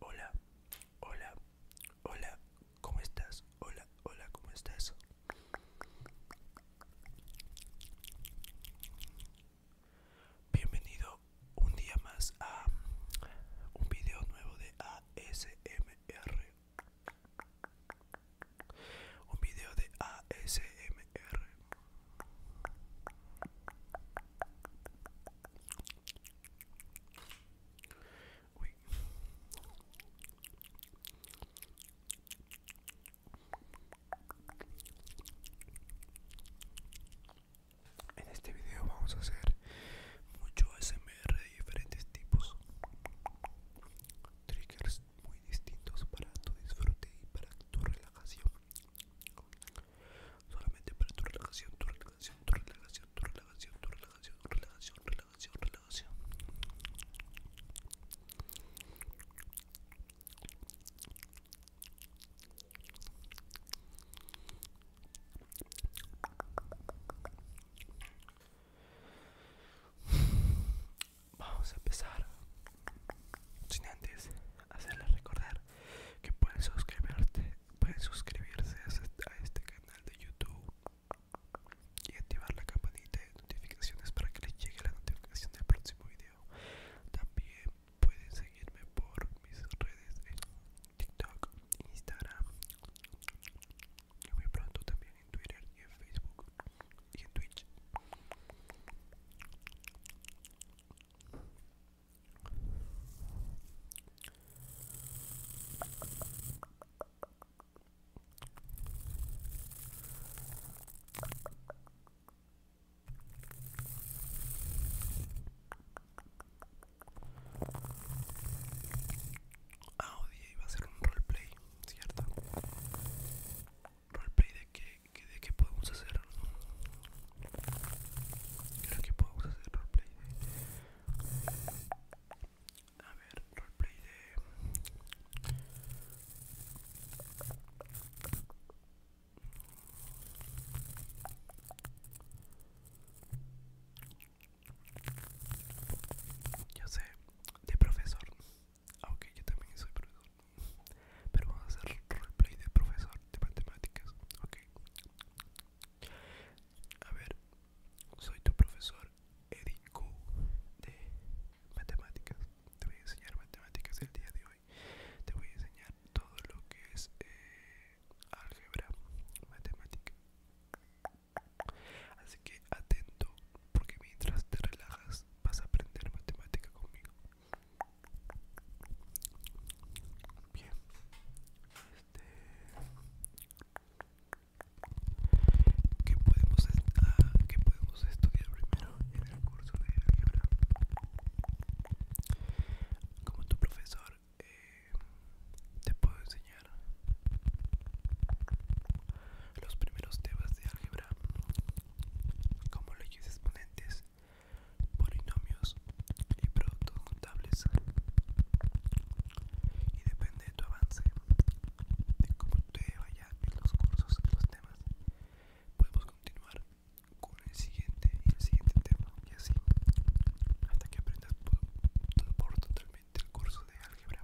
Hola, hola, hola, ¿cómo estás? Hola, hola, ¿cómo estás? Bienvenido un día más a un video nuevo de ASMR un video de ASMR. En este video vamos a hacer mucho ASMR de diferentes tipos triggers muy distintos para tu disfrute y para tu relajación solamente para tu relajación tu relajación tu relajación tu relajación tu relajación relajación relajación relajación Vamos a empezar sin antes hacerles recordar que pueden pueden suscribirse este, a este canal de YouTube y activar la campanita de notificaciones para que les llegue la notificación del próximo video. También pueden seguirme por mis redes en TikTok, Instagram, y muy pronto también en Twitter y en Facebook y en Twitch. Ah, oye, iba a ser un roleplay, ¿cierto? Roleplay de qué, que, de qué podemos hacer. Creo que podemos hacer roleplay de... A ver, roleplay de... Yo sé, de profesor. Aunque yo también soy profesor. Pero vamos a hacer roleplay de profesor de matemáticas. Ok. A ver, soy tu profesor Eddie Co de matemáticas. Te voy a enseñar matemáticas el día de hoy. Te voy a enseñar todo lo que es eh, álgebra, matemática. Así que atento, porque mientras te relajas vas a aprender matemática conmigo. Bien. Este... podemos, ah, ¿Qué podemos estudiar primero en el curso de álgebra? Como tu profesor eh, te puedo enseñar los primeros temas de álgebra como leyes exponentes, polinomios y productos contables y depende de tu avance, de cómo te vayan los cursos, los temas podemos continuar con el siguiente y el siguiente tema y así hasta que aprendas por, por totalmente el curso de álgebra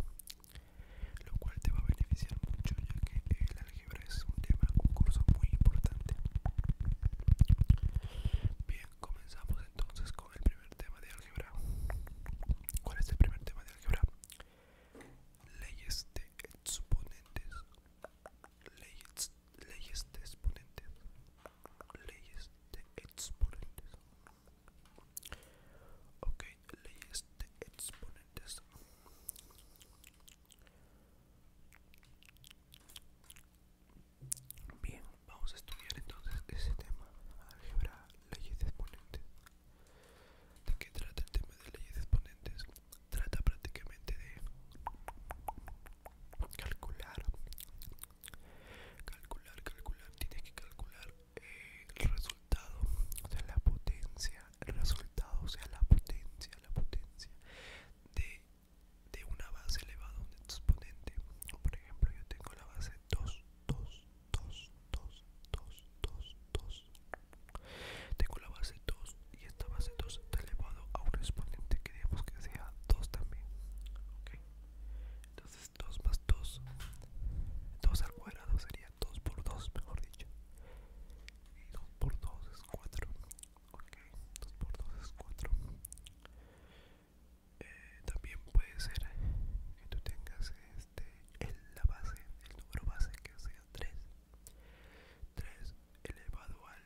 lo cual te va a beneficiar mucho ya que el álgebra es un tema, un curso muy importante bien, comenzamos entonces con el primer tema de álgebra ¿cuál es el primer tema de álgebra? leyes de exponentes leyes de exponentes leyes de exponentes ok leyes de exponentes bien vamos a estudiar entonces ese tema álgebra leyes de exponentes de qué trata el tema de leyes de exponentes trata prácticamente de calcular Calcular, calcular, tiene que calcular eh, el resultado, o sea, la potencia, el resultado, o sea, la potencia, la potencia de, una base elevada a un exponente. Por ejemplo, yo tengo la base 2, 2, 2, 2, 2, 2, 2. Tengo la base 2 y esta base 2 está elevado a un exponente, queremos que sea 2 también. Ok, entonces 2 más 2, 2 al cuadrado sería 2 por 2, mejor dicho. Y 2 por 2 es 4. Ok, 2 por 2 es 4. Eh, también puede ser que tú tengas este, en la base, el número base que sea 3. 3 elevado al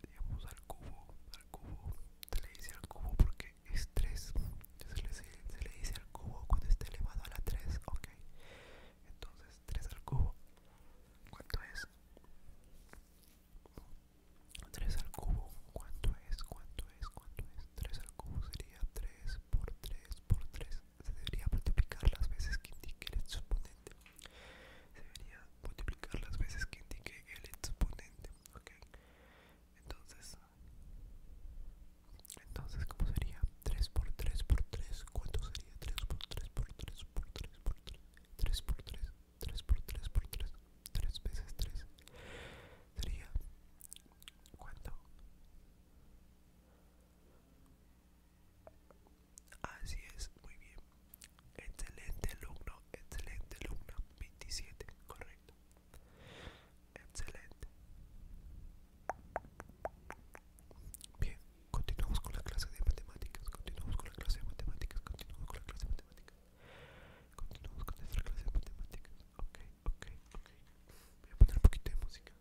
digamos al cubo al cubo se le dice al cubo porque es 3 se le, dice al cubo cuando está elevado a la 3 ok entonces 3 al cubo cuánto es 3 al cubo cuánto es cuánto es cuánto es 3 al cubo sería 3 por 3 por 3 se debería multiplicar las veces que indique el exponente se debería multiplicar las veces que indique el exponente, ¿ok? Entonces, entonces ¿cómo sería? 3 por 3 por 3, ¿cuánto sería? 3 por 3 por 3 por 3 por 3, 3 por 3, 3 por 3 por 3, 3 veces 3, sería, ¿cuánto? Así es, muy bien. Excelente alumno, excelente alumno, 27, correcto. Excelente. Bien, continuamos con la clase de matemáticas. Continuamos con la clase de matemáticas. Continuamos con la clase de matemáticas. Continuamos con nuestra clase de matemáticas. Ok, ok, ok. Voy a poner un poquito de música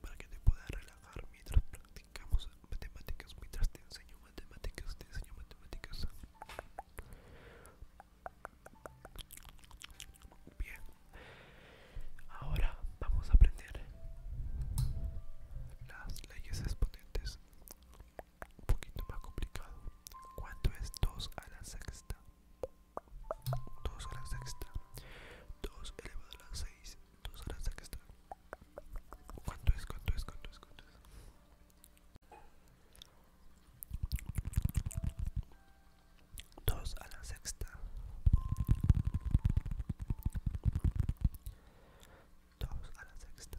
para que te puedas relajar mientras practicamos matemáticas, mientras te enseño matemáticas, te enseño matemáticas. Bien, ahora vamos a aprender las leyes exponentes. Un poquito más complicado. ¿Cuánto es 2 a la sexta? 2 la sexta 2 elevado a la 6 2 a la ¿Cuánto es? ¿Cuánto es? ¿Cuánto es? ¿Cuánto es? Dos a la sexta, dos a la sexta,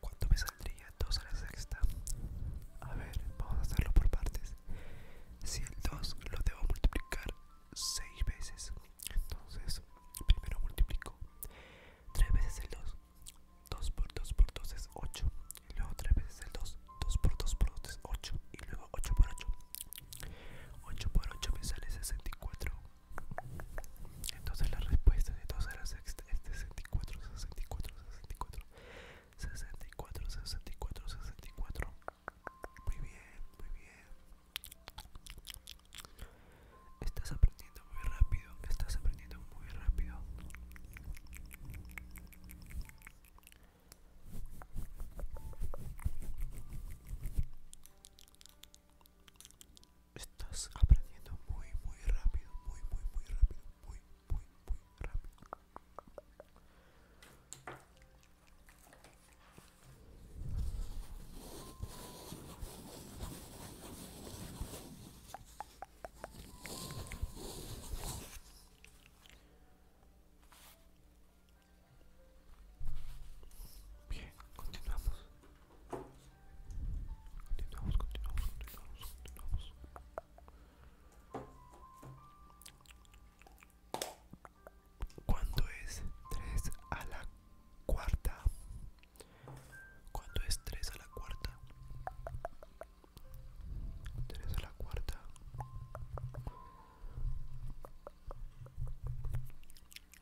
¿Cuánto me saldría 2 a la sexta? A ver, vamos a hacerlo por partes. Si el 2 lo debo multiplicar 6 veces, entonces primero multiplico 3 veces el 2. 2 por 2 por 2 es 8. Y luego 3 veces el 2. 2 por 2 por 2 es 8. Y luego 8 por 8. 8 por 8 me sale 64. Entonces la respuesta de todas era 64, 64, 64, 64, 64, 64. Muy bien, muy bien. Estás aprendiendo muy rápido, estás aprendiendo muy rápido estás aprendiendo muy muy rápido muy muy muy rápido muy muy muy rápido Bien, continuamos. Continuamos, continuamos, continuamos, ¿Cuánto es 3 a la cuarta? ¿Cuánto es 3 a la cuarta? 3 a la cuarta.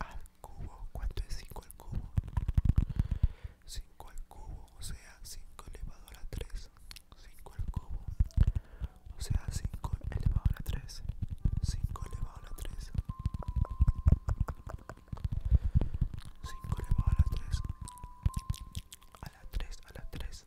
al cubo. ¿Cuánto es 5 al cubo? 5 al cubo, o sea, 5 elevado a la 3. 5 al cubo, o sea, 5 elevado a la 3. 5 elevado a la 3. 5 elevado a la 3. A la 3, a la 3.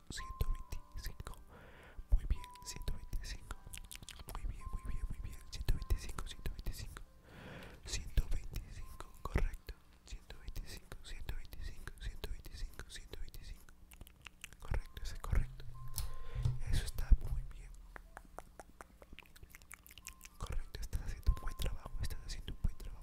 125 muy bien 125 muy bien muy bien muy bien 125 125 125 correcto 125 125 125 125 correcto ese correcto eso está muy bien correcto estás haciendo un buen trabajo estás haciendo un buen trabajo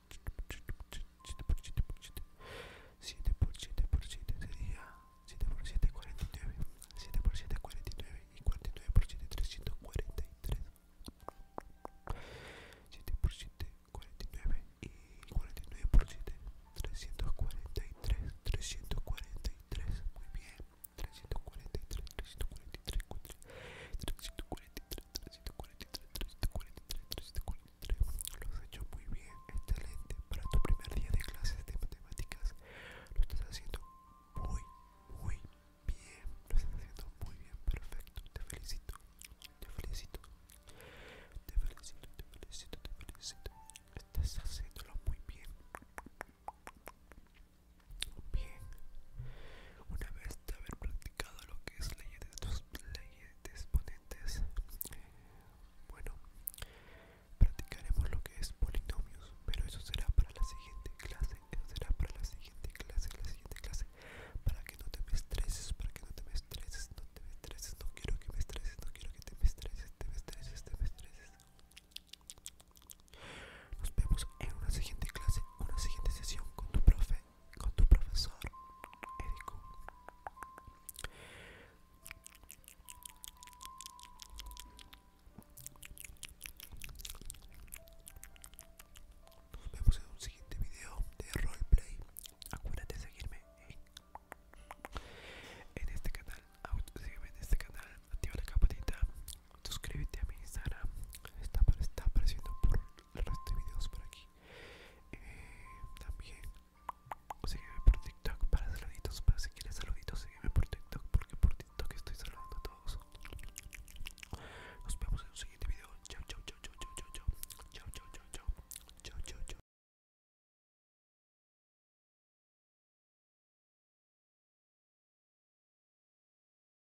7 por 7 por 7 7 por 7 por 7 sería 7 por 7 49 7 por 7 49 y 49 por 7 343 7 por 7 49 y 49 por 7 343 343 muy bien 343 343 343 343, 343, 343 Lo has hecho muy bien, excelente. Para tu primer día de clases de matemáticas, lo estás haciendo muy, muy bien. Lo estás haciendo muy bien, perfecto. Te felicito, te felicito, te felicito, te felicito, te felicito. Estás haciéndolo muy bien. Bien, una vez de haber practicado lo que es ley de, de exponentes bueno practicaremos lo que es polinomios pero eso será para la siguiente clase eso será para la siguiente clase la siguiente clase para que no te me estreses para que no te me estreses no te me estreses no quiero que me estreses no quiero que te me estreses te me estreses te me estreses nos vemos en una siguiente clase una siguiente sesión con tu profe con tu profesor Eric. Nos vemos en un siguiente video de roleplay. Acuérdate de seguirme en, este canal. Sígueme en este canal. Activa la campanita suscríbete a mi Instagram está, apareciendo por el resto de videos por aquí eh, también sígueme por TikTok para saluditos Pero si quieres saluditos sígueme por TikTok porque por TikTok estoy saludando a todos nos vemos en un siguiente video chao chao chao chao chao chao chao chao chao chao chao chao chao